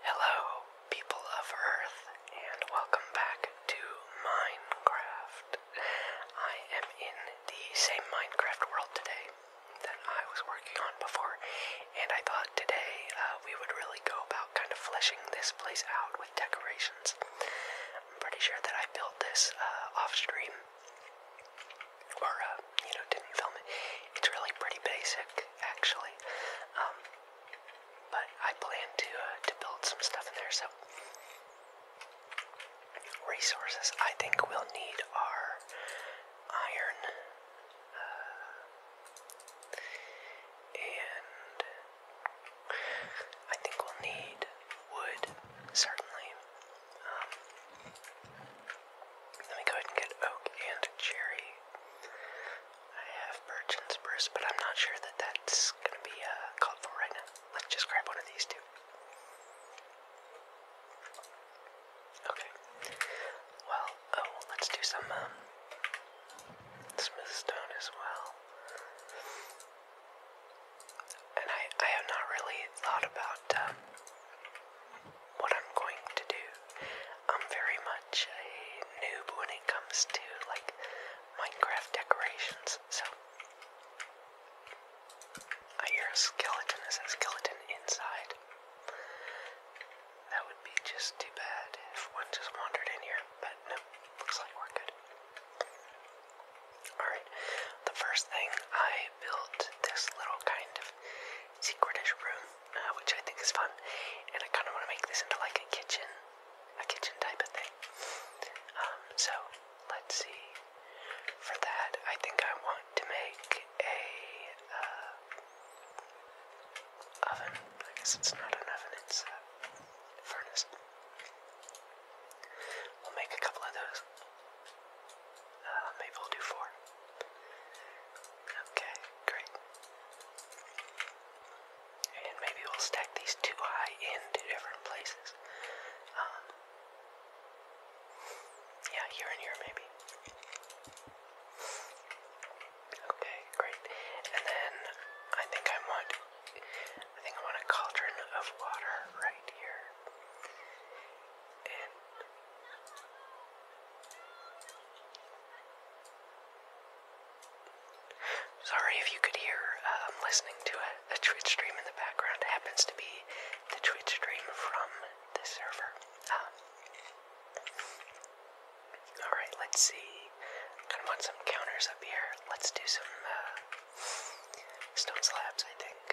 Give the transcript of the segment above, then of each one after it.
Hello, people of Earth, and welcome back to Minecraft. I am in the same Minecraft world today that I was working on before, and I thought today uh, we would really go about kind of fleshing this place out with decorations. I'm pretty sure that I built this uh, off stream, or, uh, you know, didn't film it. It's really pretty basic, actually. Um, but I plan to uh, to build some stuff in there. So resources I think we'll need are iron uh, and I think we'll need wood certainly. Um, let me go ahead and get oak and cherry. I have birch and Spruce, but I'm not sure that that's gonna be uh, called for right now. Let's just grab one of these two. Okay. Well, oh, let's do some um, Smith as well. And I, I have not really thought about um, what I'm going to do. I'm very much a noob when it comes to like Minecraft decorations, so I hear a skeleton. Is a skeleton inside? That would be just too bad if one just wandered in here, but no, looks like we're good. Alright, the first thing I built this little kind of secretish room, uh, which I think is fun, and I kind of want to make this into like a kitchen, a kitchen type of thing. Um, so let's see. For that, I think I want to make a uh, oven. I guess it's not an oven; it's a furnace. We'll make a couple of those. Uh, maybe we'll do four. Okay, great. And maybe we'll stack these two high in different places. Um, yeah, here and here maybe. Okay, great. And then I think I want I think I want a cauldron of water right here. And Sorry if you could hear, I'm um, listening to a, tweet stream in the background. happens to be the Twitch stream from the server. Um, alright, let's see. kind of want some counters up here. Let's do some uh, stone slabs, I think.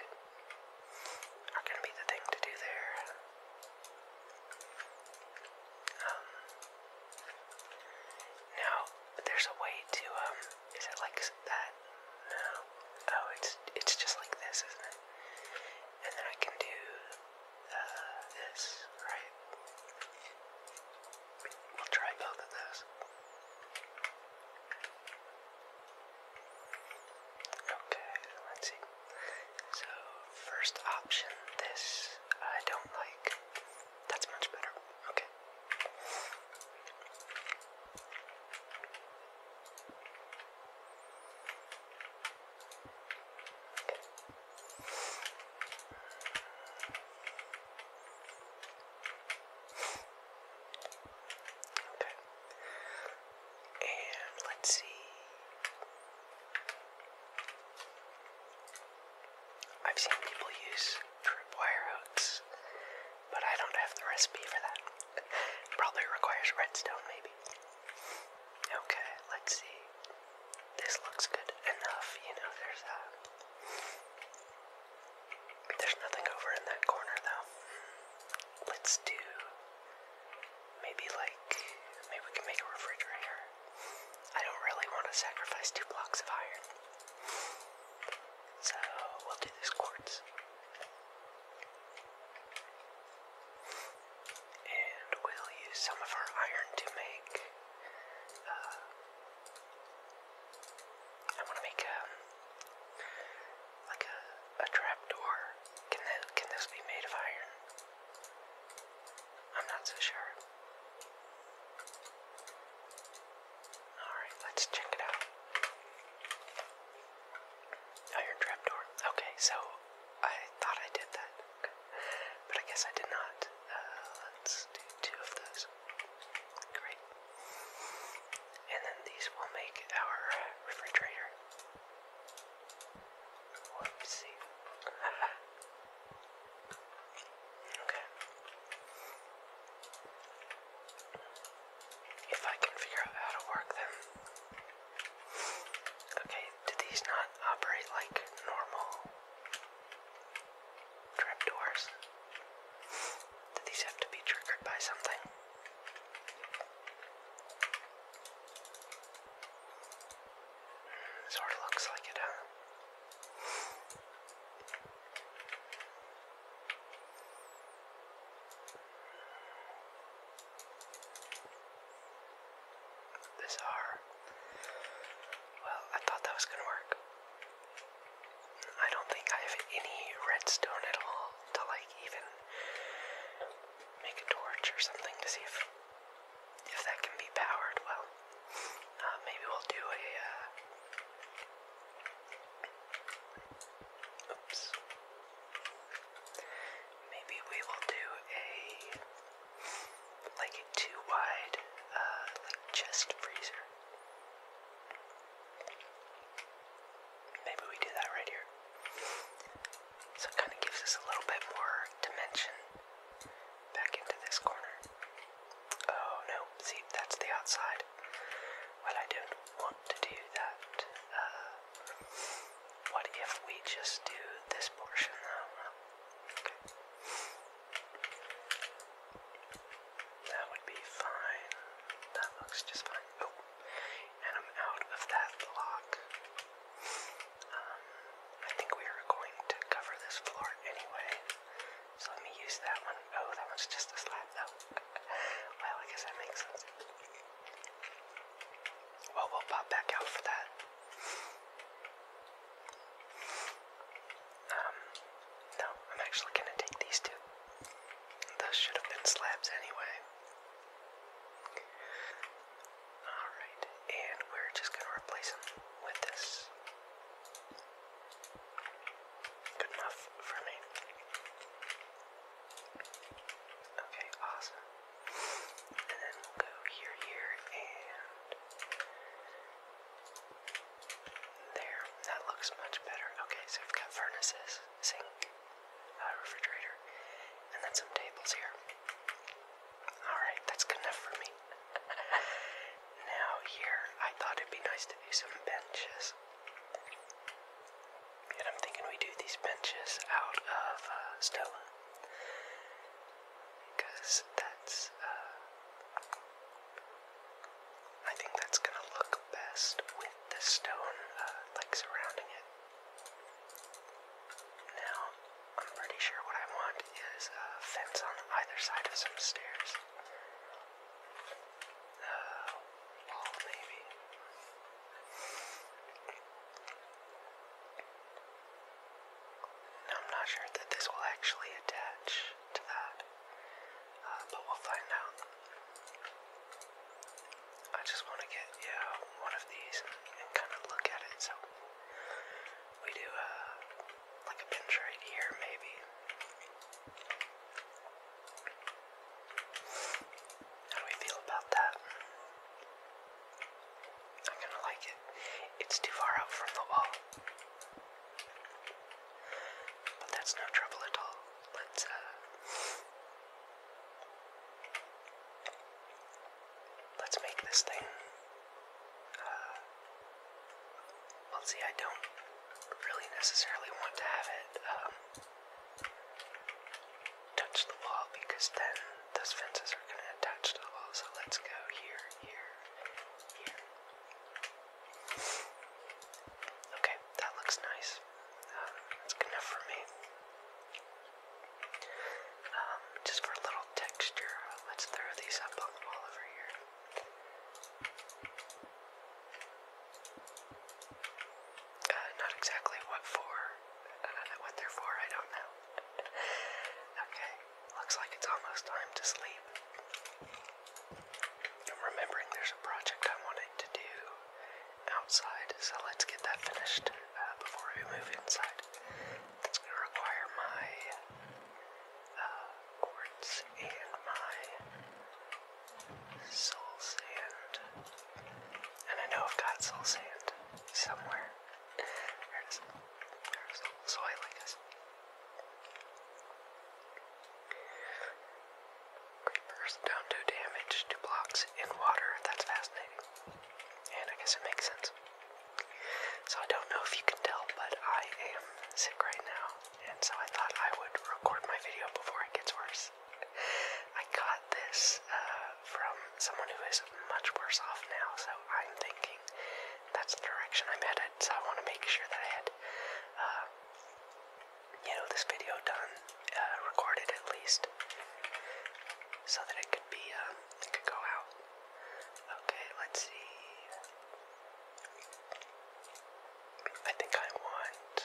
Are going to be the thing to do there. Um, now, there's a way to, um, is it like that? No. Oh, it's, it's just like this, isn't it? And then I can do, uh, this, right? We'll try both of those. Okay, let's see. So, first option, this I don't like. That's much better. Okay. Okay. And let's see. I've seen people use wire hooks, but I don't have the recipe for that. Probably requires redstone, maybe. Okay, let's see. This looks good enough, you know, there's a... Uh, there's nothing over in that corner, though. Let's do Maybe like, maybe we can make a refrigerator. I don't really want to sacrifice two blocks of iron. So we'll do this quartz. And we'll use some of our iron to make, uh, I want to make a, um, like a, a trap door. Can, that, can this be made of iron? I'm not so sure. Alright, let's check it out. Iron oh, trapdoor. Okay, so I thought I did that. But I guess I did not. Uh, let's do two of those. Great. And then these will make our refrigerator. Whoopsie. okay. If I can figure out how to work them. Okay, do these not operate like normal trapdoors? Do these have to be triggered by something? Sort of looks like it, huh? This R. Well, I thought that was gonna work. I don't think I have any redstone at all to like even make a torch or something to see if if that can be powered well. Uh, maybe we'll do a, uh, oops. Maybe we will do a, like a too wide, uh, chest freezer. Maybe we do that right here. So it kind of gives us a little bit more dimension back into this corner. Oh no, see, that's the outside. Well, I don't want to do that. Uh, what if we just do this portion That would be fine. That looks just fine. Oh, and I'm out of that lock. Um, I think we are going to cover this floor anyway, so let me use that one. Oh, that one's just a slab though. well, I guess that makes sense. Well, we'll pop back out for that. Um, no, I'm actually gonna take these two. Those should have been slabs anyway. Alright, and we're just going to replace them with this. Good enough for me. Okay, awesome. And then we'll go here, here, and there. That looks much better. Okay, so we've got furnaces, sink, uh, refrigerator, and then some tables here. Alright, that's good enough for me. now, here, I thought it'd be nice to do some benches. And I'm thinking we do these benches out of uh, Because that's, uh, I think that's gonna look best with the stone, uh, like surrounding it. Now, I'm pretty sure what I want is a fence on either side of some stairs. Uh, maybe. Now, I'm not sure that this will actually attach to that, uh, but we'll find out. I just want to get, yeah, one of these and kind of look at it, so we do uh, like a pinch right here, maybe. How do we feel about that? I'm gonna like it. It's too far out from the wall. But that's no trouble at all. Let's, uh. Let's make this thing. Uh, well, see, I don't really necessarily want to have it um, touch the wall because then those fences are going to attach the wall. So let's go here, here, here. Okay, that looks nice. that's um, good enough for me. Um, just for a little texture, let's throw these up on the wall over here. Uh, not exactly what for, uh, what they're for, I don't know. okay, looks like it's almost time to sleep. remembering there's a project I wanted to do outside, so let's get that finished uh, before we move inside. That's going to require my uh, quartz and my soul sand. And I know I've got soul sand somewhere. There it is. There's the whole soil, I guess. Creepers don't do damage to blocks in water. That's fascinating. And I guess it makes sense. So I don't know if you can tell, but I am sick right now, and so I thought I would record my video before it gets worse. I got this uh, from someone who is much worse off now, so I'm thinking that's the direction I'm headed, so I want to make sure that I had, uh, you know, this video done, uh, recorded at least, so that it could be, it could go out Okay, let's see. I think I want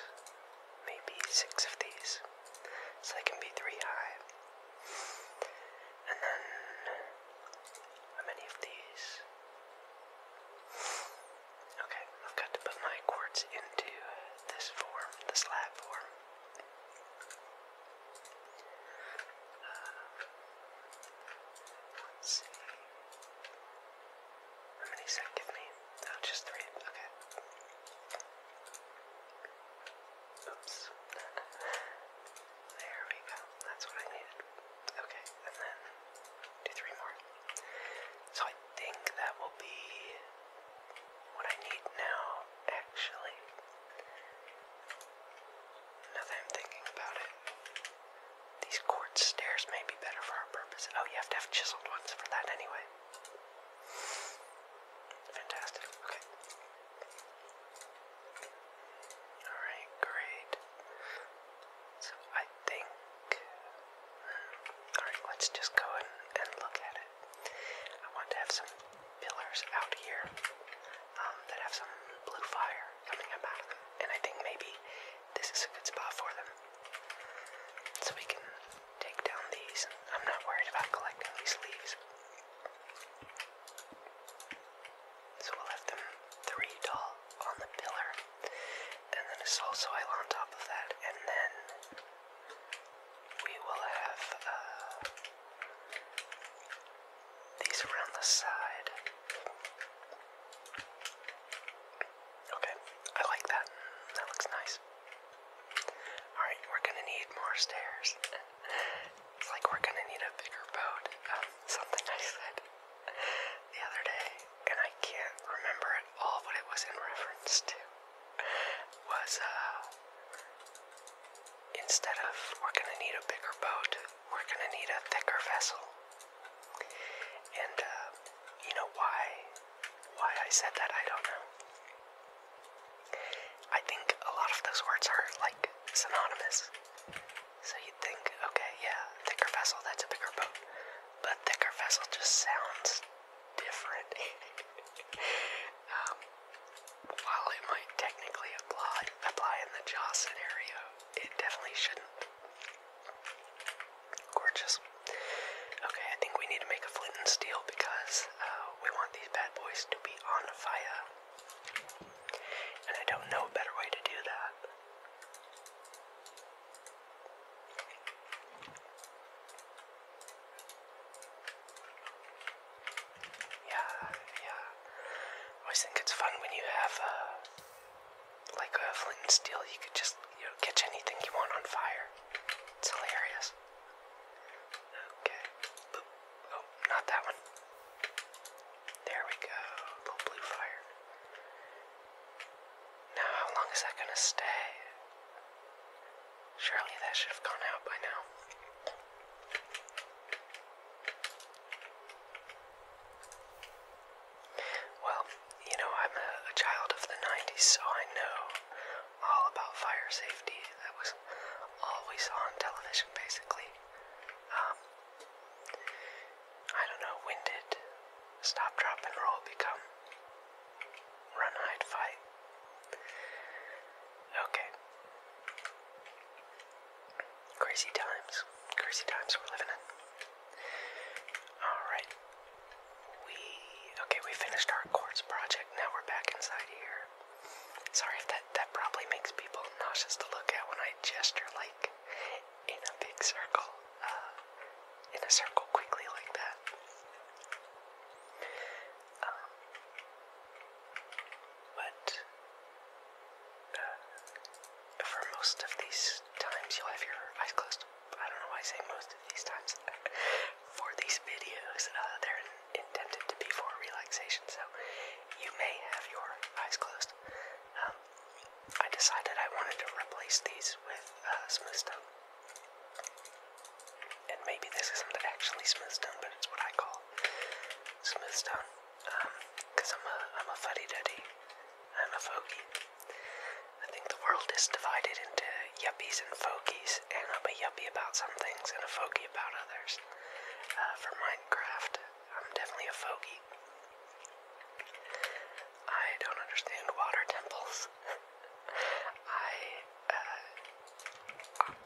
maybe six of these. So they can be three high. And then how many of these? Okay, I've got to put my quartz into this form, the slab form let's see. How many does Oh, just three. Okay. Oops. there we go. That's what I needed. Okay, and then do three more. So I think that will be what I need now, actually. Now that I'm thinking about it, these quartz stairs may be better for our purpose. Oh, you have to have chiseled ones for that anyway. Fantastic. Okay. Alright, great. So I think. Alright, let's just go and, and look at it. I want to have some pillars out here um, that have some blue fire coming up out of them, and I think maybe this is a good spot for them. So we can take down these. I'm not worried about collecting these leaves. So we'll have them three tall on the pillar, and then a soul soil on top of that, and then we will have uh, these are on the side. Okay, I like that. That looks nice. Alright, we're gonna need more stairs. it's like we're gonna need a bigger boat. Um, something I said the other day, and I can't remember at all what it was in reference to, was, uh, Instead of we're going to need a bigger boat, we're going to need a thicker vessel. And uh, you know why why I said that I don't know. I think a lot of those words are like synonymous. So you'd think, okay, yeah, thicker vessel, that's a bigger boat. But thicker vessel just sounds different. Um, while it might technically apply, in the jaw scenario, it definitely shouldn't. Gorgeous. Okay, I think we need to make a flint and steel because uh, we want these bad boys to be on fire. And I don't know a better way to do that. Yeah, yeah. I always think it's fun when you have, a uh, like a flint and steel, you could just, you know, catch anything you want on fire. It's hilarious. Okay. Boop. Oh, not that one. There we go. Little blue fire. Now, how long is that gonna stay? Surely that should have gone out by now. Well, you know, I'm a, child of the 90s, so I know all about fire safety. That was always on television, basically. Um, I don't know, when stop, drop, and roll become run, hide, fight? Okay. Crazy times. Crazy times we're living in. Alright. We. Okay, we finished our quartz project. Now we're back inside here. Sorry if that, that probably makes people nauseous to look at when I gesture like in a big circle, uh, in a circle quickly like that but uh, for most of these times you'll have your eyes closed. I don't know why I say most of these times. for these videos, uh, they're intended to be for relaxation, so you may have your eyes closed. Um, I decided I wanted to replace these with uh, smooth stone. And maybe this isn't actually smooth stone, but it's what I call smooths down. Um, i I'm a, I'm a fuddy duddy. I'm a fogey. I think the world is divided into yuppies and fogies, and i will be yuppy about some things and a fogy about others. Uh, for Minecraft, I'm definitely a fogy. I don't understand water temples. I uh,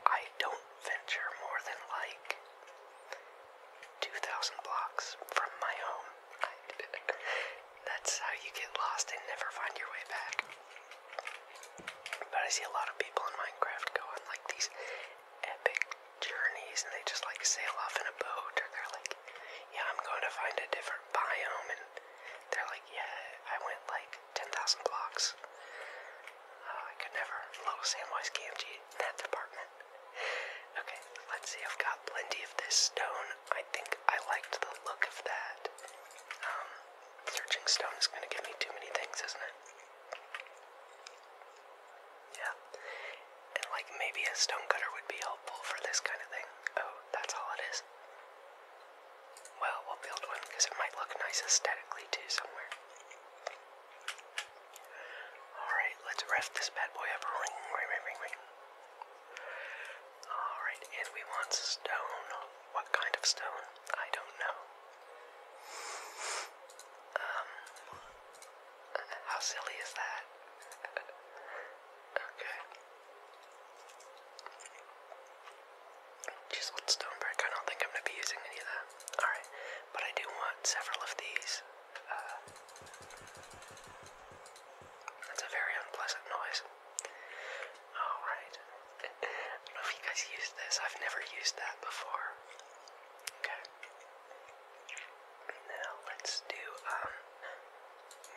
I don't venture more than like 2,000 blocks from my home. That's how you get lost and never find your way back. But I see a lot of people in Minecraft going like these epic journeys and they just like sail off in a boat or they're like, yeah, I'm going to find a different biome. And they're like, yeah, I went like 10,000 blocks Oh, I could never Little oh, Samwise KMG in that department. Okay, let's see. I've got plenty of this stone. I think I liked the look of that. Um, searching stone is going to give me too many things, isn't it? Yeah. And like maybe a stone cutter would be helpful for this kind of thing. Oh, that's all it is. Well, we'll build one because it might look nice aesthetically too somewhere. Alright, let's ref this bad boy up. Ring, ring, ring, ring, ring. Alright, and we want stone. What kind of stone? I don't know. Um, how silly is that? okay. Just one stone brick. I don't think I'm going to be using any of that. Alright, but I do want several of these. Uh, that's a very unpleasant noise. Alright. I don't know if you guys used this. I've never used that before. Okay. Now let's do um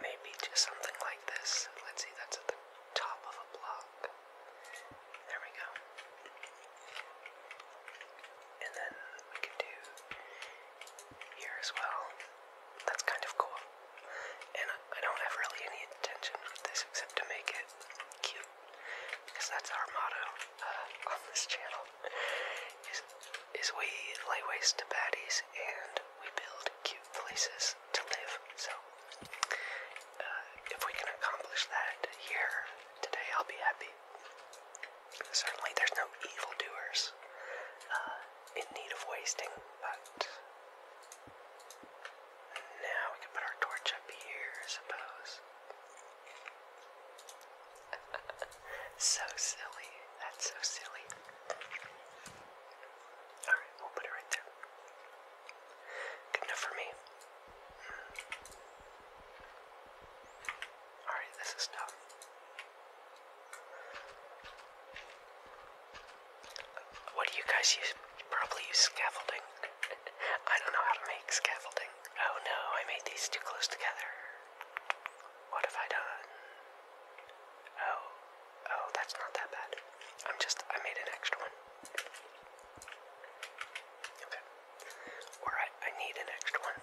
maybe just something like this. Let's see, that's at the top of a block. There we go. And then we can do here as well. That's kind of cool. And I don't have really any intention with this except to make it cute. Because that's our motto uh, on this channel. is we lay waste to baddies and we build cute places to live. So uh, if we can accomplish that here today, I'll be happy. Certainly, there's no evildoers uh, in need of wasting, but now we can put our torch up here, I suppose. so silly. That's so silly. Alright, we'll put it right there. Good enough for me. Hmm. Alright, this is done. What do you guys use? Probably use scaffolding. I don't know how to make scaffolding. Oh no, I made these too close together. What have I done? Oh, oh, that's not that bad. I'm just, I made an extra one. Okay. Or I, need an extra one.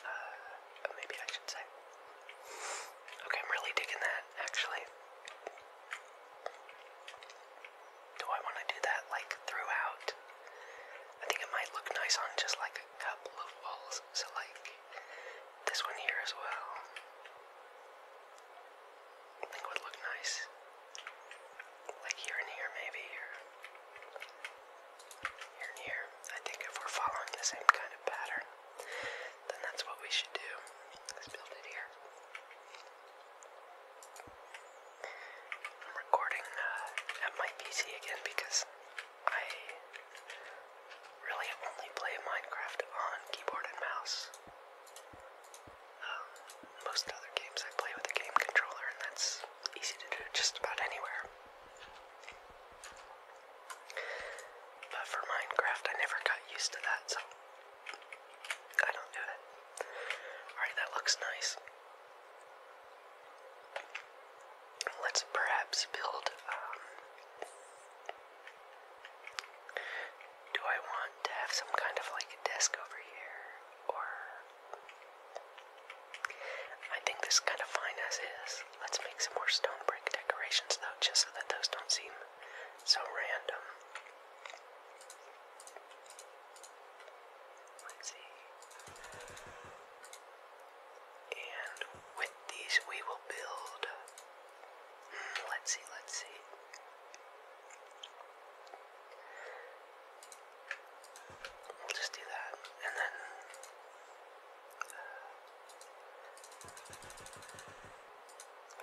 Uh, uh, maybe I should say. Okay, I'm really digging that, actually. Do I want to do that, like, throughout? I think it might look nice on just, like, a couple of walls. So, like, this one here as well. I think would look nice. Like here and here, maybe, or here and here. I think if we're following the same kind of pattern, then that's what we should do. Let's build it here. I'm recording uh, at my PC again because I really only play Minecraft on keyboard and mouse. Um, most other games I play with a game controller, and that's easy to do just about anywhere. But for Minecraft, I never got used to that, so I don't do it. Alright, that looks nice. Let's perhaps build. Um, do I want to have some kind of like desk over here? Or I think this is kind of fine as is. Let's make some more stone brick decorations though, just so that those don't seem so random. Let's see. And with these we will build. Hmm, let's see, let's see. We'll just do that, and then uh,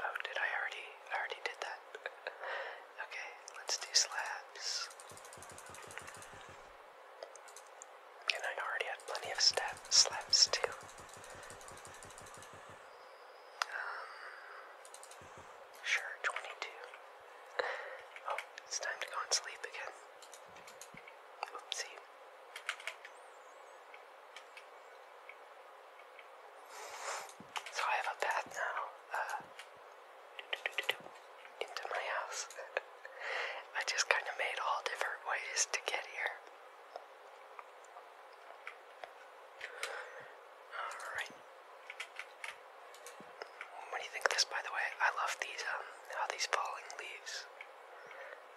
oh, did I already? I already did that. okay, let's do slabs. And I already had plenty of stab slabs too. Um, Sure, 22. Oh, it's time to go and sleep again. Oopsie. So I have a path now, uh, doo -doo -doo -doo -doo, into my house. I just kind of made all different ways to get here. Alright. What do you think of this, by the way? I love these, um, how these falling leaves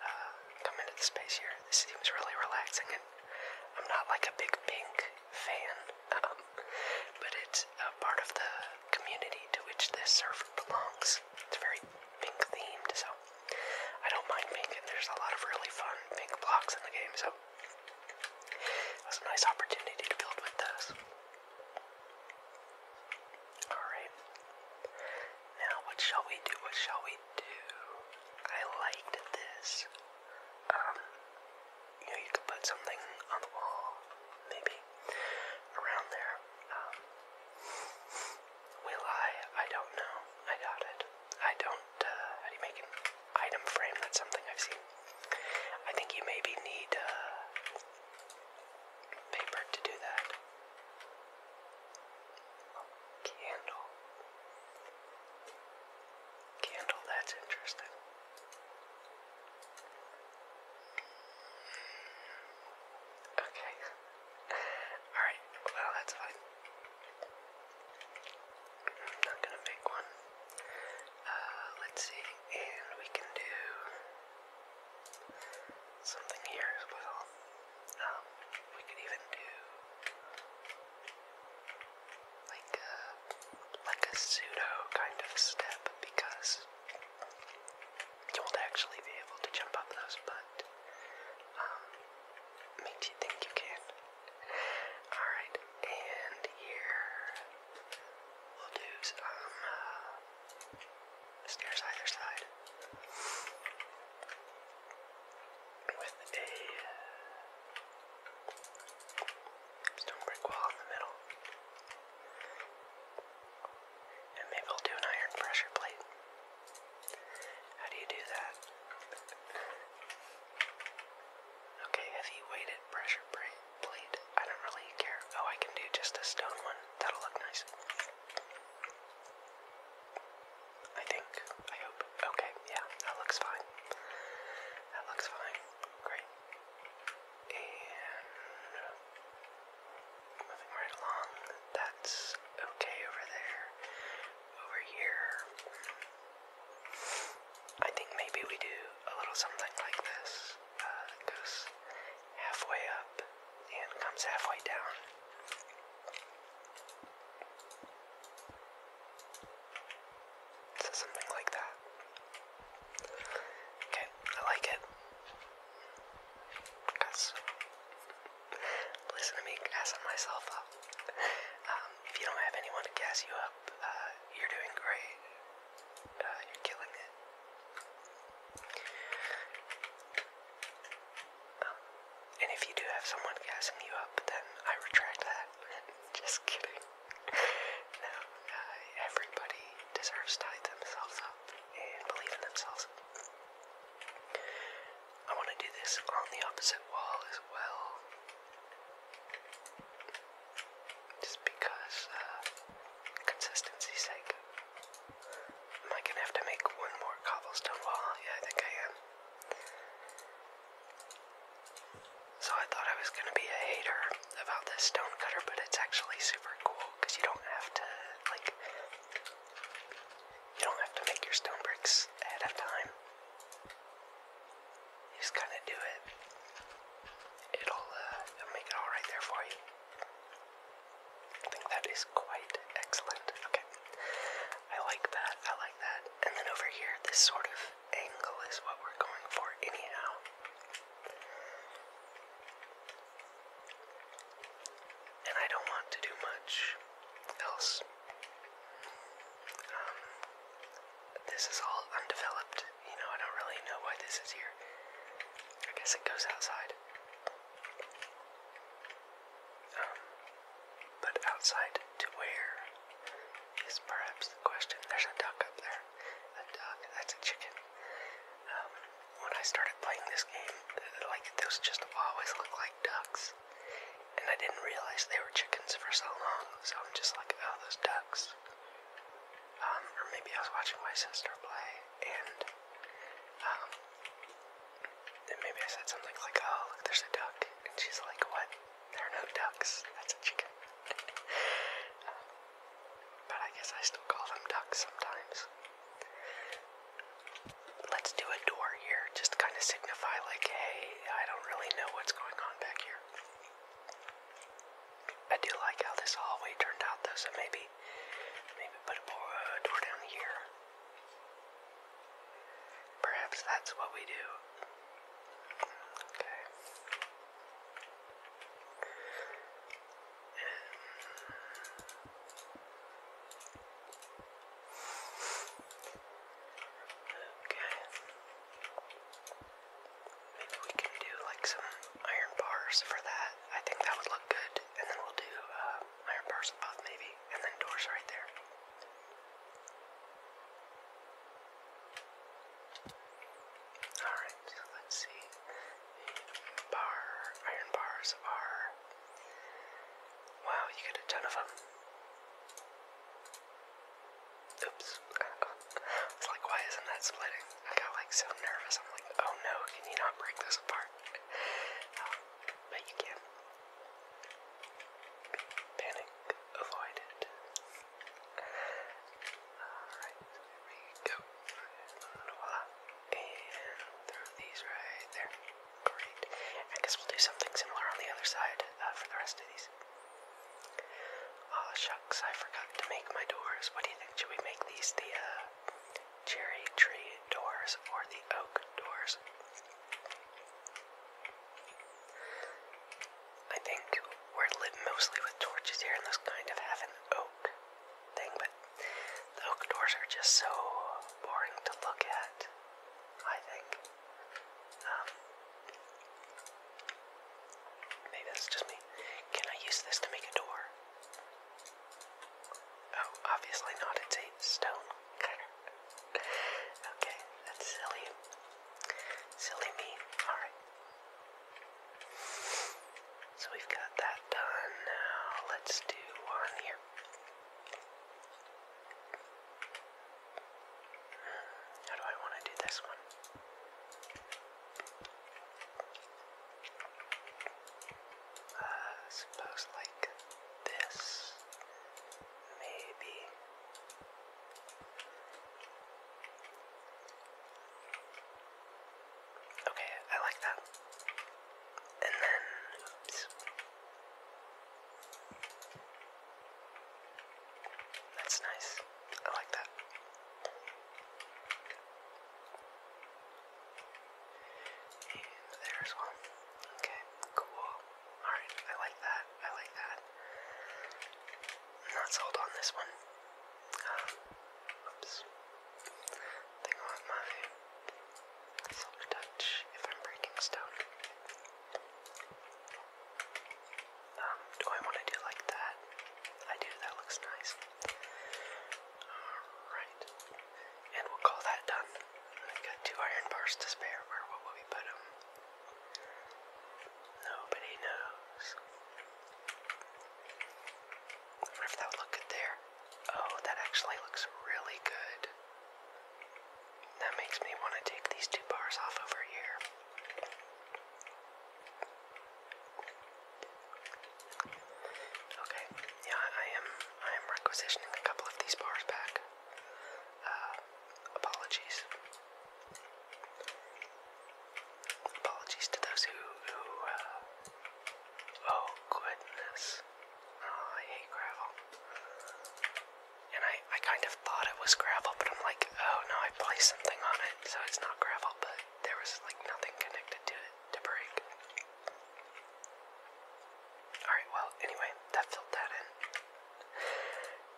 uh, come into space here. This seems really relaxing, and I'm not like a big pink fan, um, but it's a part of the community to which this server belongs. It's very pink themed, so I don't mind pink, and there's a lot of really fun pink blocks in the game, so it was a nice opportunity to build with those. Alright. Now, what shall we do? What shall we do? I liked this. Um, you know, you could put something on the wall, maybe, around there. Um, will I? I don't know. I doubt it. I don't, uh, how do you make an item frame? That's something I've seen I think you maybe need uh, paper to do that. Candle. Candle, that's interesting. Okay. Alright, well, that's fine. I'm not gonna make one. Uh, let's see, and we can do something here as well. Um, we could even do like a like a pseudo kind of step because you won't actually be able to jump up those, but um, makes you think you can. All right, and here We'll do some uh, stairs either side with a stone brick wall in the middle. And maybe I'll do an iron pressure plate. How do you do that? Okay, heavy weighted pressure plate blade. I don't really care. Oh, I can do just a stone one. That'll look nice. I think. I hope. Okay, yeah, that looks fine. That looks fine. Great. And moving right along. That's okay over there. Over here. I think maybe we do a little something like this. Uh, goes halfway up and comes halfway down. something like that. Okay, I like it. Cause, listen to me gassing myself up. Um, if you don't have anyone to gas you up, uh, you're doing great. Uh, you're killing it. Um, and if you do have someone gassing you up, then I retract that. Just kidding. no, uh, everybody deserves to tie themselves up and believe in themselves. I want to do this on the opposite wall as well. Just because, uh, sake. Am I gonna have to make one more cobblestone wall? Yeah, I think I am. So I thought I was gonna be a hater about the stone cutter, but it's actually super cool because you don't have to, like, you don't have to make your stone bricks ahead of time. You just kind of do it. It'll, uh, make it all right there for you. I think that is quite excellent. Okay. I like that. I like that. And then over here, this sort of angle is what we're going for anyhow. And I don't want to do much else. Um, this is all undeveloped you know, I don't really know why this is here. I guess it goes outside. Um, but outside to where is perhaps the question. There's a duck up there. A duck, that's a chicken. Um, when I started playing this game, like, those just always look like ducks. And I didn't realize they were chickens for so long, so I'm just like, oh, those ducks. Um, or maybe I was watching my sister play, and um, then maybe I said something like, "Oh, look, there's a duck," and she's like, "What? There are no ducks. That's a chicken." Um, but I guess I still call them ducks sometimes. Let's do a door here, just kind of signify, like, hey, I don't really know what's going on back here. I do like how this hallway turned out though, so maybe maybe put a uh, door down here. Perhaps that's what we do. Okay. Okay. Maybe we can do like some iron bars for that. I think that would look good. And then we'll do uh, iron bars above maybe, and then doors right there. Alright, let's see. Bar, iron bars are. Wow, you get a ton of them. Oops. I like, why isn't that splitting? I got like so nervous. I'm like, oh no, can you not break this apart? Um, but you can. Panic avoided. Alright, there we go. And throw these right there. Great. I guess we'll do something similar on the other side uh, for the rest of these oh, shucks, I forgot to make my doors. What do you think? Should we make these the uh, cherry tree doors or the oak doors? I think we're lit mostly with torches here, and this kind of have an oak thing, but the oak doors are just so boring to look at, I think. Um, Maybe that's just me. Can I use this to make a door? Oh, obviously not. It's a stone cutter. okay, that's silly. Silly me. Alright. So we've got that done. Now let's do one here. Hmm, how do I want to do this one? Uh, like this, maybe. Okay, I like that. And then, That's nice. I like that. And there's one. Okay, cool. Alright, I like that. I like that. not sold on this one. Um, oops. Thing on my silver touch if I'm breaking stone. Um, do I want to do like that? I do, that looks nice. Alright. And we'll call that done. i got two iron bars to spare. Where will we put them? Nobody knows. I wonder if that would good there. Oh, that actually looks really good. That makes me want to take these two bars off over here. Okay, yeah, I am I am requisitioning a couple of these bars back. Uh, apologies. Apologies to those who uh, oh goodness. Ah, I hate gravel. And I, I kind of thought it was gravel, but I'm like, oh no, I placed something on it, so it's not gravel but there was like nothing connected to it to break. Alright, well, anyway, that filled that in.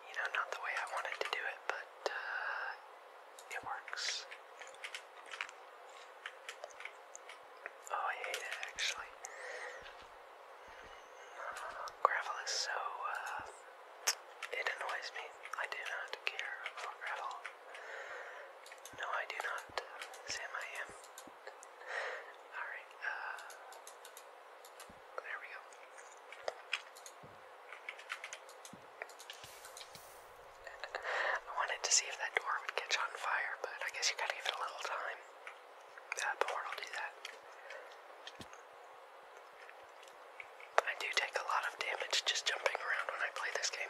You know, not the way I wanted to do it, but uh, it works. Oh, I hate it actually. gravel is so uh, it annoys me. I do not care for at all. No, I do not. Sam, I am. Alright, uh, There we go. I wanted to see if that door would catch on fire, but I guess you gotta give it a little time. That uh, will do that. I do take a lot of damage just jumping around when I play this game.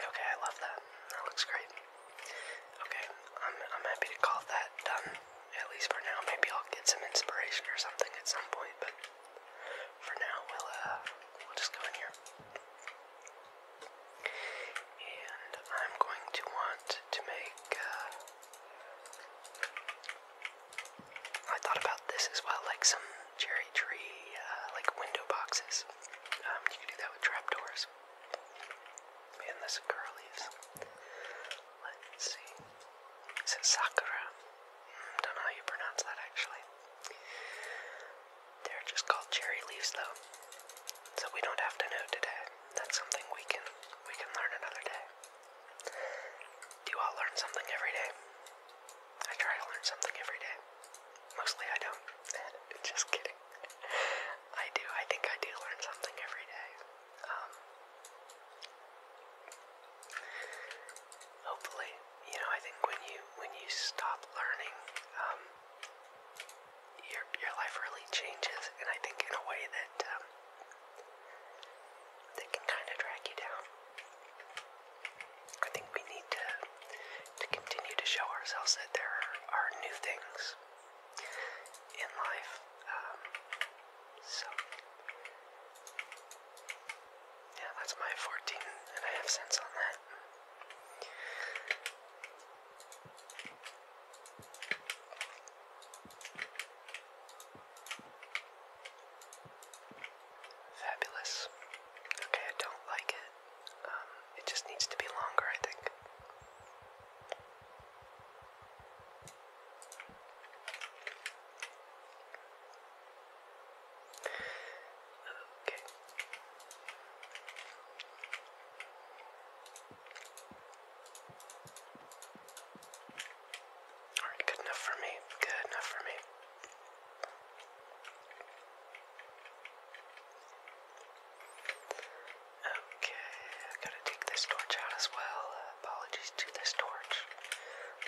Okay, I love that. That looks great. Okay, I'm, I'm happy to call that done, at least for now. Maybe I'll get some inspiration or something at some point, but for now, we'll, uh, we'll just go in here. And I'm going to want to make, uh, I thought about this as well, like some cherry tree, uh, like window boxes. Um, you can do that with trapdoors. And this curl leaves. Let's see. Is it Sakura? Mm, don't know how you pronounce that actually. They're just called cherry leaves though. So we don't have to know today. That's something we can we can learn another day. Do I learn something every day? I try to learn something every day. Mostly I don't. Just kidding. I do. I think I do learn something every day. Um, hopefully, you know, I think when you when you stop learning, um, your your life really changes, and I think in a way that um, they can kind of drag you down. I think we need to to continue to show ourselves that there are new things in life. Um, so yeah, that's my 14 and I have cents on that. Fabulous. Okay, I don't like it. Um, it just needs to be longer, I think. Okay. Alright, good enough for me. Good enough for me. Okay, I gotta take this torch out as well. apologies to this torch.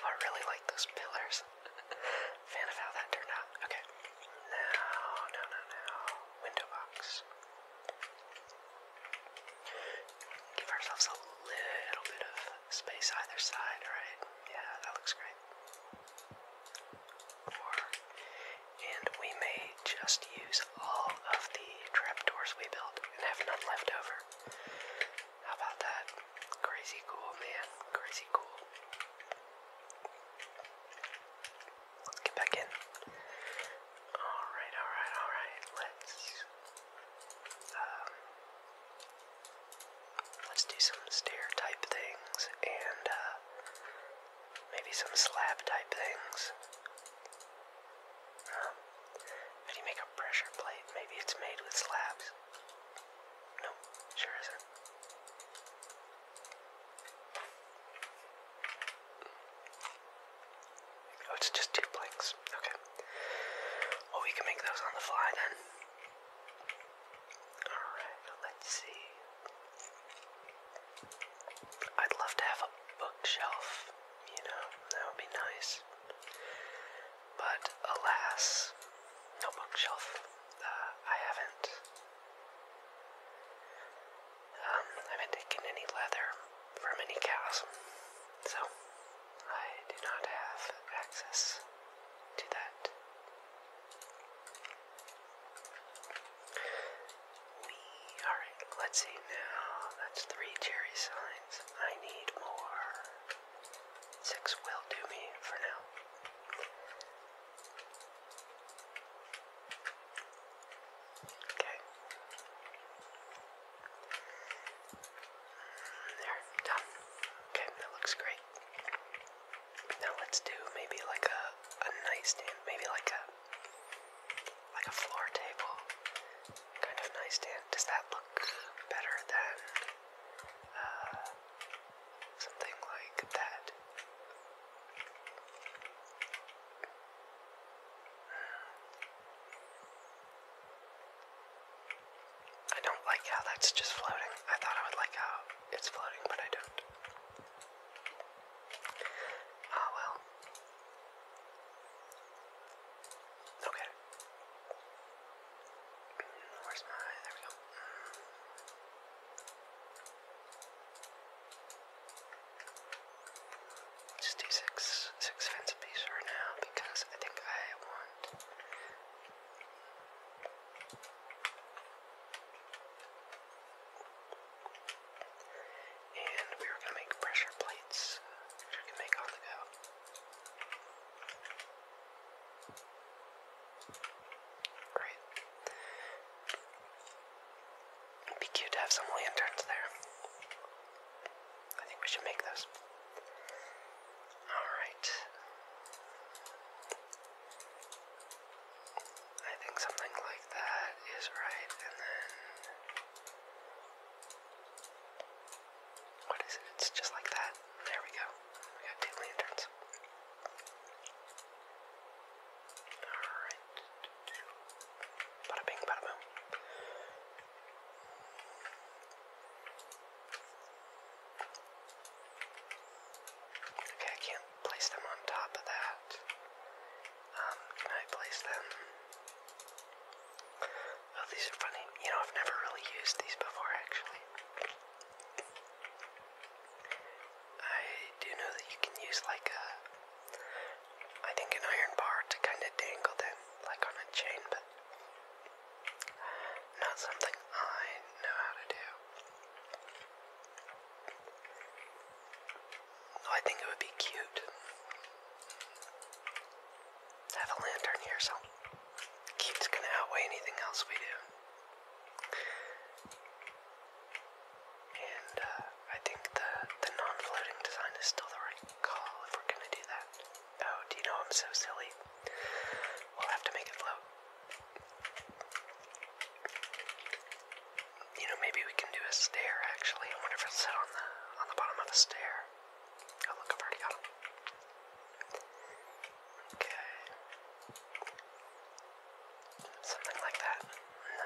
I really like those pillars. Fan of how that turned out. Okay. Now, no, no, no. Window box. Give ourselves a little bit of space either side, right? Yeah, that looks great. and we may just use all of the trapdoors we built and have none left over. How about that? Crazy cool, man. Crazy cool. Let's get back in. Alright, alright, alright. Let's. Um, Let's do some stair type things and uh, maybe some slab type things. how do you make a pressure plate? Maybe it's made with slabs. Nope, sure isn't. Oh, it's just two planks. Okay. Oh, we can make those on the fly then. Alright, let's see. I'd love to have a bookshelf, you know, that would be nice. But alas, no bookshelf. Uh, I haven't. Um, I haven't taken any leather from any cows, so I do not have access to that. alright, let's see now. That's three cherry signs. I need more. Six will do me for now. Okay. There, done. Okay, that looks great. Now let's do maybe like a a nightstand, maybe like a like a floor table kind of nightstand. Does that look better than uh, something like that? I don't like how that's just floating. I thought I would like how it's floating, but I don't. Ah, well. Okay. Mm, where's my. There we go. Mm. Just do six, six fence a piece now because I think I want. And we were going to make pressure plates, which we can make on the go. Great. It'd be cute to have some lanterns there. I think we should make those. Alright. I think something like that is right, and then. What is it? It's just like that. There we go. We got two lanterns. Alright. Bada bing, bada boom. Okay, I can't place them on top of that. Um, can I place them? Oh, these are funny. You know, I've never really used these before, actually. I do know that you can use like a, I think an iron bar to kind of dangle them, like on a chain, but not something I know how to do. I think it would be cute. have a lantern here, so cute's gonna outweigh anything else we do. And uh, I think the the non-floating design is still the right call if we're gonna do that. Oh, do you know I'm so silly? We'll have to make it float. You know, maybe we can do a stair actually. I wonder if it sit on the on the bottom of a stair. Oh look, I've already got him. Okay. Something like that.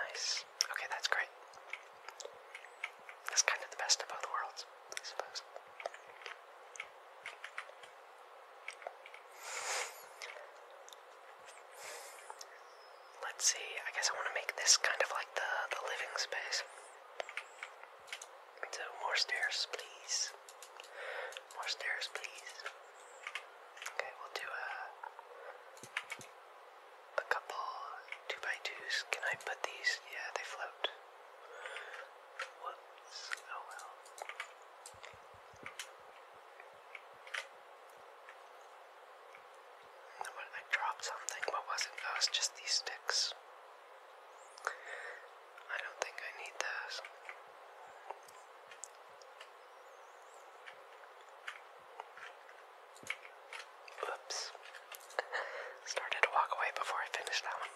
Nice. Okay, that's great. That's kind of the best of both worlds, I suppose. Let's see, I guess I want to make this kind of like the, the living space. So, more stairs, please. More stairs, please. Okay, we'll do a, a couple 2x2s. 2s Can I put these? Yeah, they float. What? Oh well. I dropped something, but was it was just these sticks. I don't think I need those. Oops. Started to walk away before I finished that one.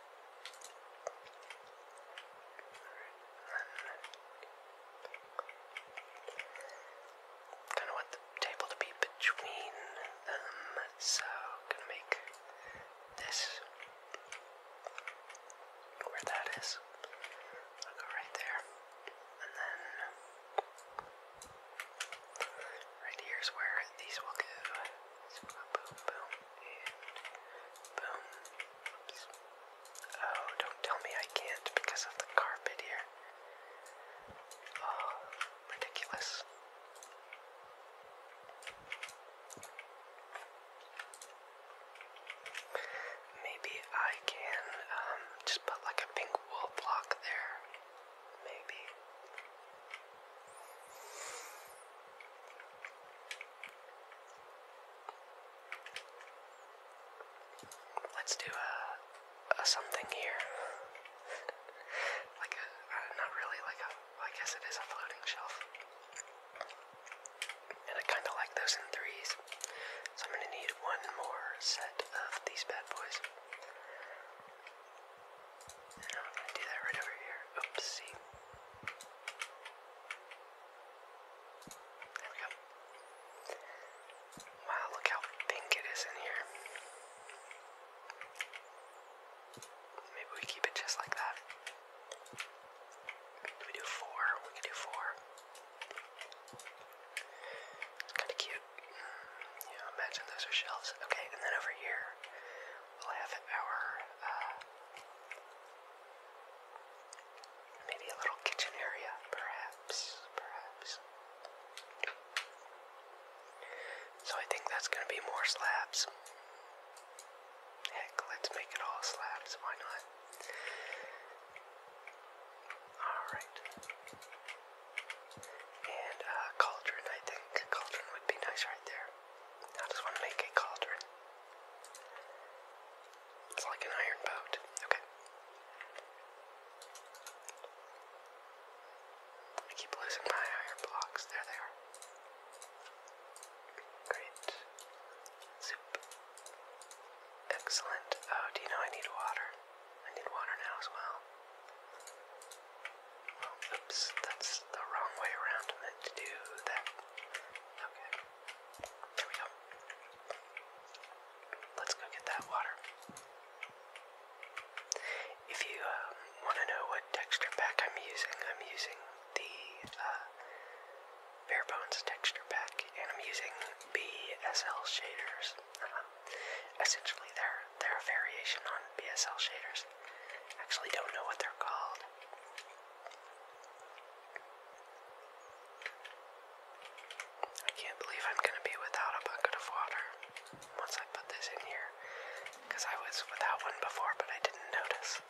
Kind of want the table to be between them, so I'm gonna make this where that is. I'll go right there, and then right here is where these will go boom, boom, and boom. Oh, don't tell me I can't because of the carpet here. Oh, ridiculous. Maybe I can um, just put like a pink wool block there. Maybe. Let's do a, something here. like a, uh, not really like a, I guess it is a floating shelf. And I kinda like those in threes. So I'm gonna need one more set of these bad boys do that right over here. Oopsie. There we go. Wow, look how pink it is in here. Maybe we keep it just like that. We do four. We can do four. It's kind of cute. imagine those are shelves. Okay, and then over here, We'll have our uh, maybe a little kitchen area, perhaps, perhaps. So I think that's going to be more slabs. Heck, let's make it all slabs. Why not? All right. And a uh, cauldron, I think. Cauldron would be nice right there. I just want to make a cauldron. It's like an iron boat. Okay. I keep losing my iron blocks. There they are. Great. Soup. Excellent. Oh, do you know I need water? I need water now as well oops, that's the wrong way around. meant to do that. Okay. There we go. Let's go get that water. If you uh, want to know what texture pack I'm using, I'm using the Bare uh, Bones texture pack, and I'm using BSL shaders. Uh-huh. Essentially, they're they're a variation on BSL shaders. Actually, don't know what they're called. I can't believe I'm gonna be without a bucket of water once I put this in here, because I was without one before, but I didn't notice.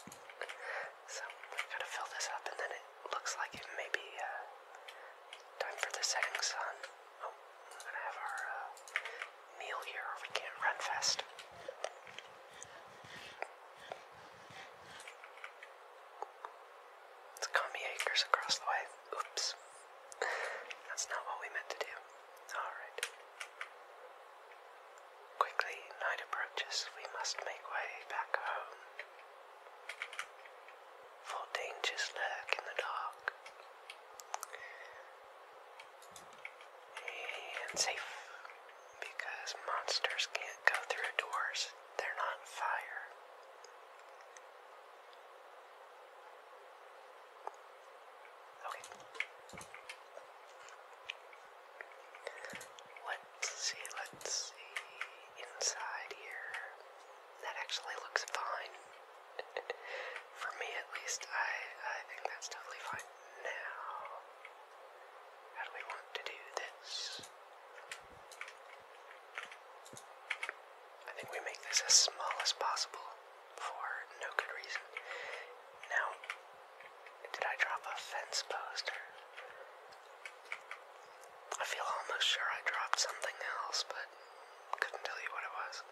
So gotta fill this up, and then it looks like it may be uh, time for the setting sun. Oh, I'm gonna have our uh, meal here or we can't run fast. It's Kami Acres across the way. Oops. That's not what we meant to do. Alright. Quickly, night approaches. We must make way back home. For dangers lurk in the dark. And safe. Because monsters can't go through doors, they're not fire. Okay. Let's see, let's see. Inside here. That actually looks fine. For me at least, I I think that's totally fine. Now, how do we want to do this? I think we make this as small as possible for no good reason. Now, did I drop a fence post? I feel almost sure I dropped something else, but couldn't tell you what it was.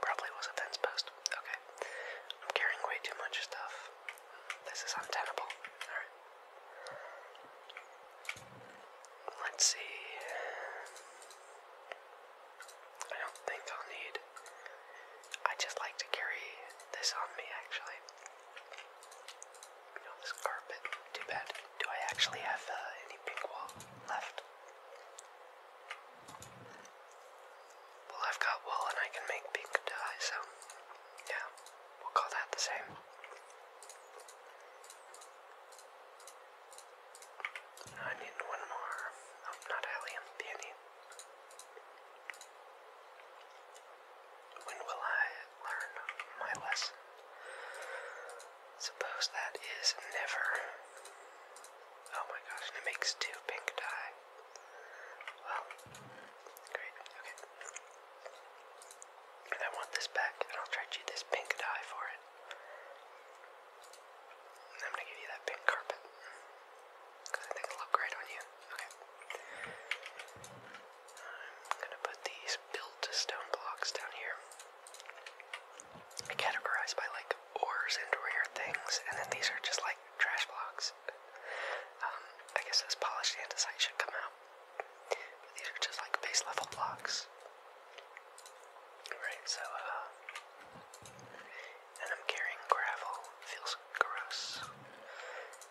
Probably was a fence post. Okay. I'm carrying way too much stuff. This is untenable. Alright. Let's see. I don't think I'll need. I just like to carry this on me actually. You know, this carpet. Too bad. Do I actually have uh, any pink wall left? Well, I've got wool and I can make pink dye, so yeah, we'll call that the same. I need one more. Oh, not alien, peony. When will I learn my lesson? Suppose that is never. Oh my gosh, it makes two pink dye. Well, great, okay. I want this back, and I'll trade you this pink dye for it. I'm gonna give you that pink carpet. Because I think it'll look great on you. Okay. I'm gonna put these built stone blocks down here categorized by like ores and rare things, and then these are just like trash blocks. Um, I guess this polished andesite should come out. these are just like base level blocks. Right, so, uh, and I'm carrying gravel. Feels gross.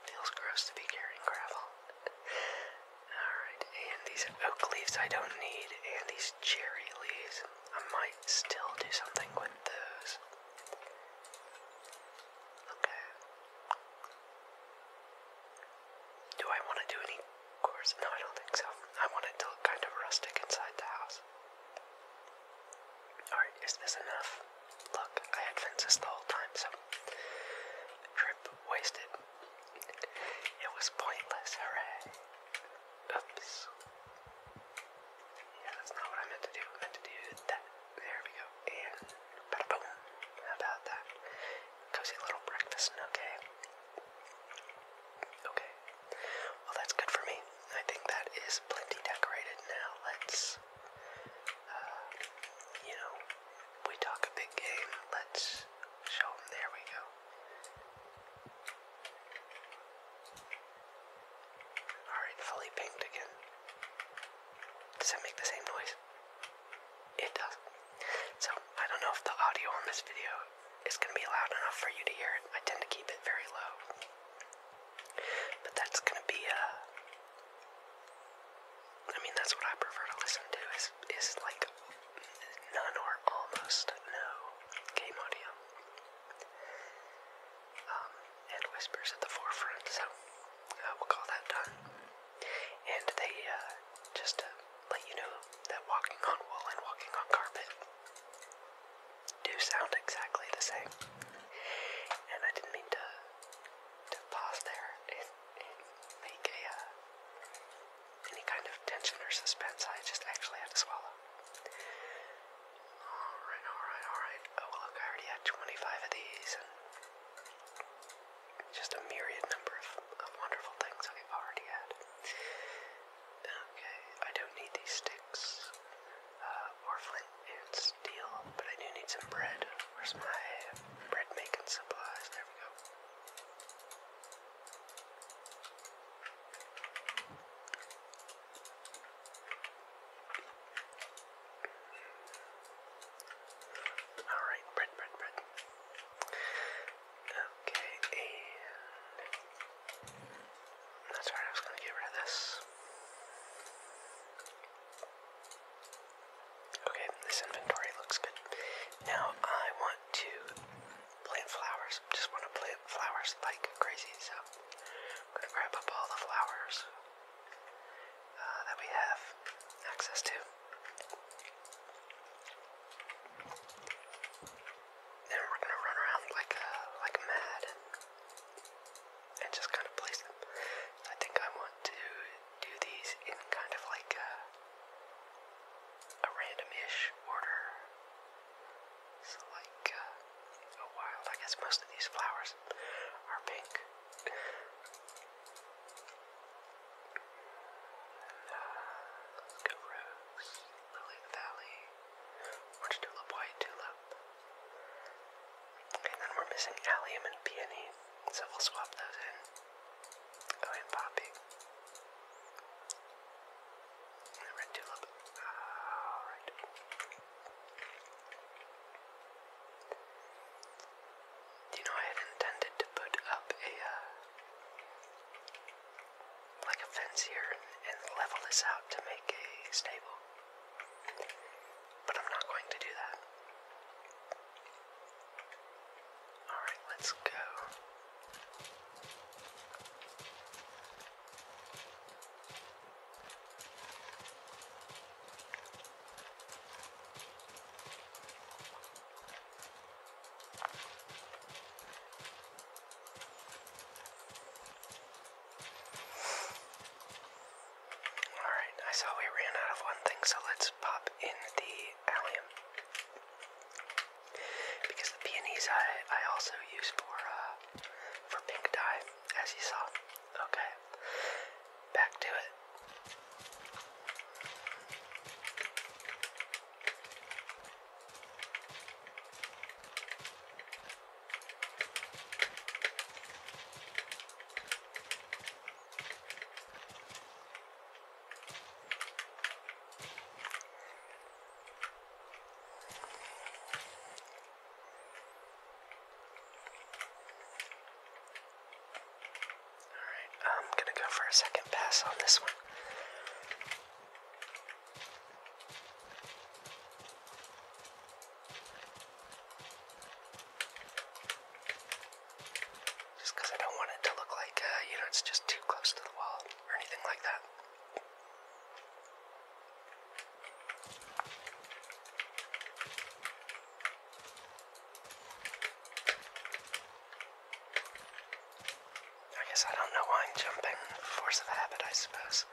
Feels gross to be carrying gravel. Alright, and these oak leaves I don't need, and these cherry leaves. I might still do something with those. Okay. Do I want to do any course? No, I don't think so. I want it to look kind of rustic inside the house. Alright, is this enough? Look, I had fences the whole time, so trip wasted. It was pointless, hooray. Oops. Yeah, that's not what I meant to do. meant to do that. There we go. And boom. How about that? Cozy little breakfast Okay. Okay. Well, that's good for me. I think that is plenty decorated now. Let's, uh, you know, we talk a big game. Let's show them. There we go. Alright, fully pinged again. Does that make the same noise? It does. So, I don't know if the audio on this video is going to be loud enough for you to hear it. I tend to keep it very low. But that's going to be, uh. mean, that's what I prefer to listen to, is, is like none or almost no game audio. Um, and whispers at the forefront, so uh, we'll call that done. And they, uh, just to uh, let you know that walking on wool and walking on carpet do sound exactly the same. And I didn't mean to, to pause there and, make a, any kind of tension or suspense. I just actually had to swallow. Alright, alright, alright. Oh, look, I already had 25 of these, just a myriad number of, wonderful things I've already had. Okay, I don't need these sticks, uh, or flint and steel, but I do need some bread. Where's my bread making supplies? There we go. All right, bread, bread, bread. Okay, that's all right. I was gonna get rid of this. Okay, this inventory looks good. Now I want to plant flowers. Just want to plant flowers like crazy, so I'm gonna grab up all the flowers uh, that we have access to. And we're gonna run around like uh, like mad and, just kind of place them. I think I want to do these in kind of like a, a random-ish order. So like uh, a wild. I guess most of these flowers are pink. Uh, go rose, lily of the valley, orange tulip, white tulip. And then we're missing allium and peony, so we'll swap those in. Oh, and poppy. Red You know, I had intended to put up a, uh, like a fence here and, and level this out to make a stable. But I'm not going to do that. Alright, let's go. Alright, I saw we ran out of one thing, so let's pop in the allium because the peonies I, I also use for, uh, for pink dye, as you saw. Okay, back to it. Alright, I'm gonna go for a second pass on this one. Just I don't want it to look like, uh, you know, it's just too close to the wall or anything like that. I guess I don't know why I'm jumping. Force of habit, I suppose.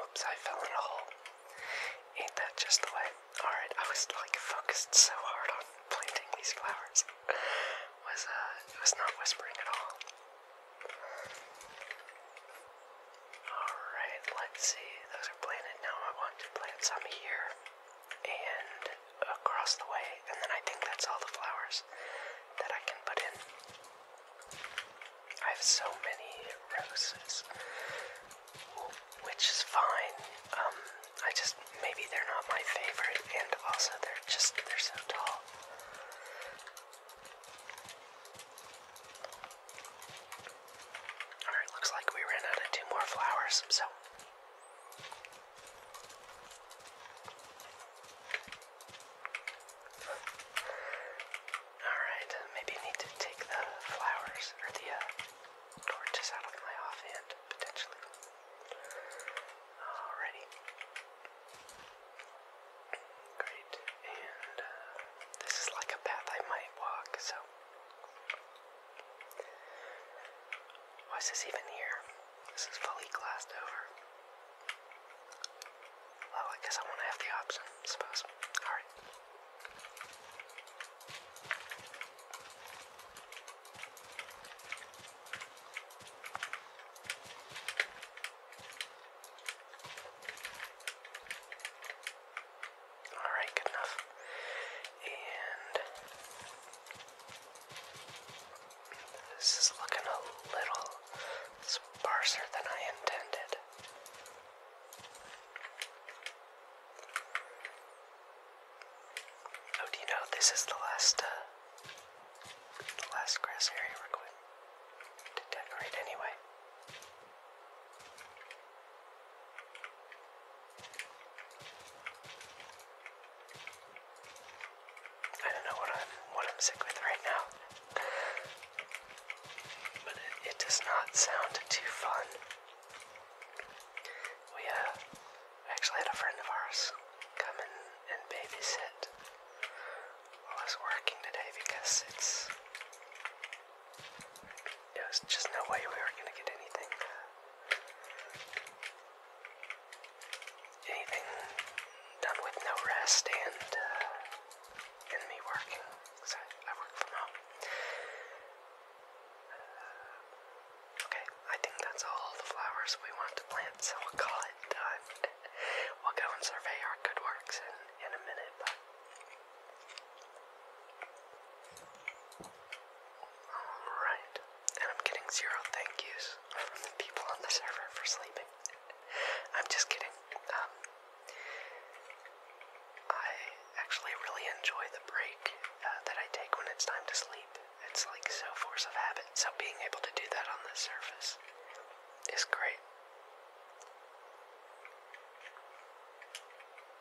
Oops, I fell in a hole. Ain't that just the way? Alright, I was like focused so hard on planting these flowers. was uh was not whispering at all. Alright, let's see. Those are planted. Now I want to plant some here and across the way, and then I think that's all the flowers that I can put in. I have so many roses, which is fine. Um, I just maybe they're not my favorite, and also they're just they're so tall. Alright, looks like we ran out of two more flowers, so Alright, maybe I need to take the flowers or the uh, torches out of my offhand, potentially. Alrighty. Great. And uh, this is like a path I might walk, so why is this even here? This is fully glassed over. Well, I guess I want to have the option, suppose. Alright. Alright, good enough. And this is looking a little sparser than I intended. Oh, do you know this is the last, uh, the last grass area we're going to decorate anyway. I don't know what I'm what I'm sick with right now. but it, does not sound too fun. We uh actually had a friend of ours come in and babysit while I was working today because it's there just no way we were gonna get anything Anything done with no rest and, uh, and me working, because I, work from home. Uh, okay, I think that's all the flowers we want to plant, so we'll call it done. we'll go and survey our good works in, in a minute, Right. And I'm getting zero thank yous from the people on the server for sleeping. I'm just kidding. Um, I actually really enjoy the break uh, that I take when it's time to sleep. It's like so force of habit. So being able to do that on the surface is great.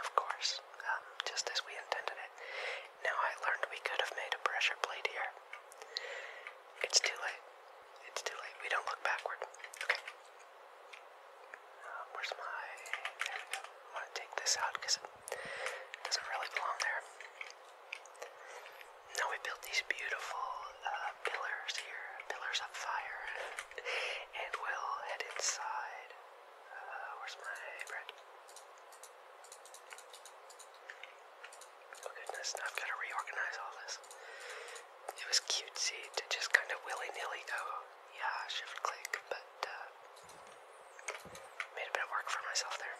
of course, um, just as we intended it. Now I learned we could have made a pressure plate here. It's too late. It's too late. We don't look backward. Okay. Um, where's my... I want to take this out because it doesn't really belong there. Now we built these beautiful uh, pillars here, pillars of fire, and we'll head inside uh, where's my bread? Oh goodness, I've got to reorganize all this. It was cutesy to just kind of willy-nilly go, yeah, shift-click, but uh, made a bit of work for myself there.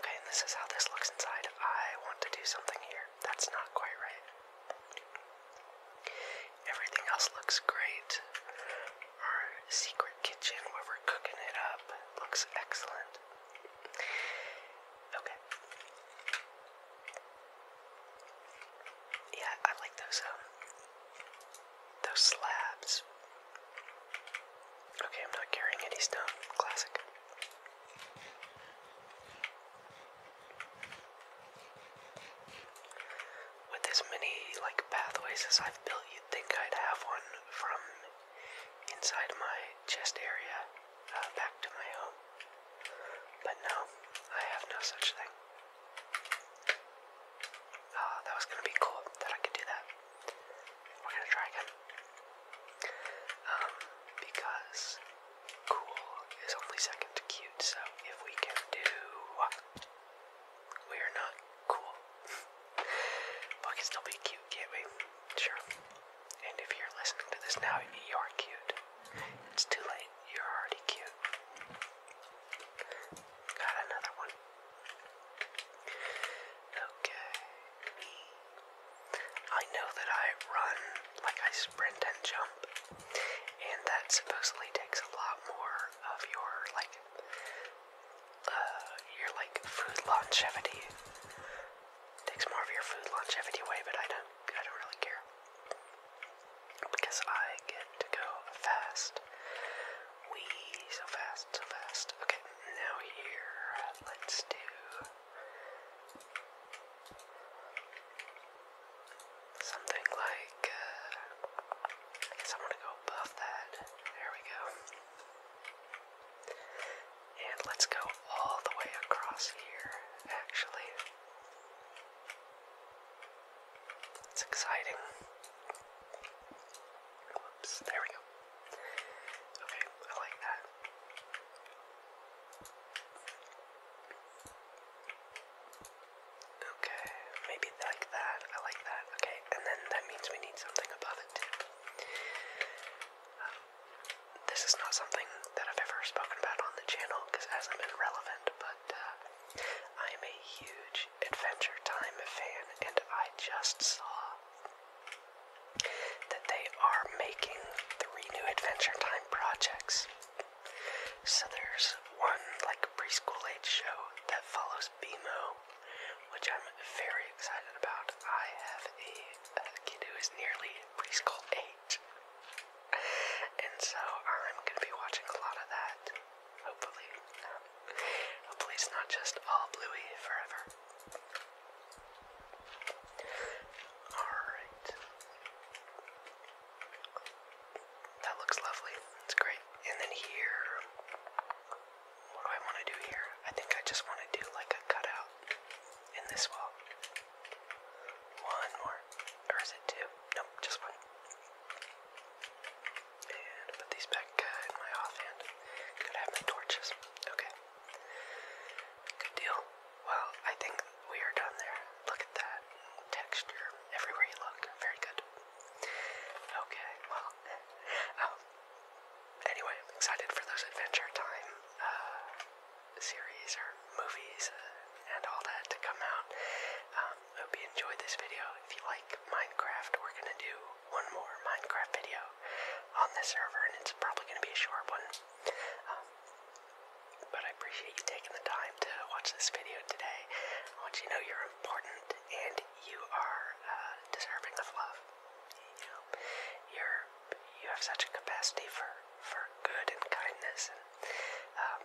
Okay, and this is how this looks inside. I want to do something here. That's not quite right. Everything else looks great. Our secret kitchen where we're cooking it up looks excellent. Okay. Yeah, I like those um those slabs. Okay, I'm not carrying any stone. Classic with as many like pathways as I've built, you'd think I'd have one from inside my chest area uh, back to my home. But no, I have no such thing. Ah, that was gonna be cool that I could do that. We're gonna try again. Um, because cool is only second to cute, so if we can do we are not cool. but we can still be cute, can't we? Sure. And if you're listening to this now, you are cute. It's too late. You're already cute. Got another one. Okay. I know that I run like I sprint and jump, and that supposedly takes a lot more of your like uh, your like food longevity. Takes more of your food longevity away, but I don't I don't really care. Because I get to go fast. so fast, so fast. Okay, now here let's do Something like, uh, I guess I'm gonna go above that. There we go. And let's go all the way across here, actually. It's exciting. Whoops, there we go. Okay, I like that. Okay, maybe like that. I like that. Okay, and then that means we need something above it um, this is not something that I've ever spoken about on the channel because it hasn't been relevant, but uh, I'm a huge Adventure Time fan, and I just saw that they are making three new Adventure Time projects. So there's one like preschool age show that follows BMO, which I'm very excited about. I have a, kid who is nearly preschool age. And so I'm gonna be watching a lot of that. Hopefully. hopefully it's not just all bluey forever. Alright. That looks lovely. It's great. And then here, what do I want to do here? I think I just want to do like a cutout in this wall. One more. Or is it two? Nope, just one. And put these back in my offhand. Gotta have my torches. Okay. Good deal. Well, I think we are done there. Look at that texture everywhere you look. Very good. Okay, well, um, anyway, I'm excited for those Adventure Time uh, series or movies uh, and all that to come out. Um, hope you enjoyed this video. If you like Minecraft, we're going to do one more Minecraft video on this server, and it's probably going to be a short one. Um, but I appreciate you taking the time to watch this video today. I want you to know you're important and you are uh, deserving of love. You know, you're you have such a capacity for for good and kindness, and um,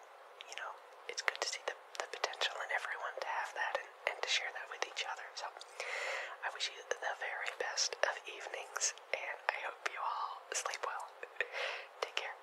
you know it's good to see the the potential in everyone to have that and, and to share that with each other. So I wish you the very best of evenings, and I hope you all sleep well. Take care.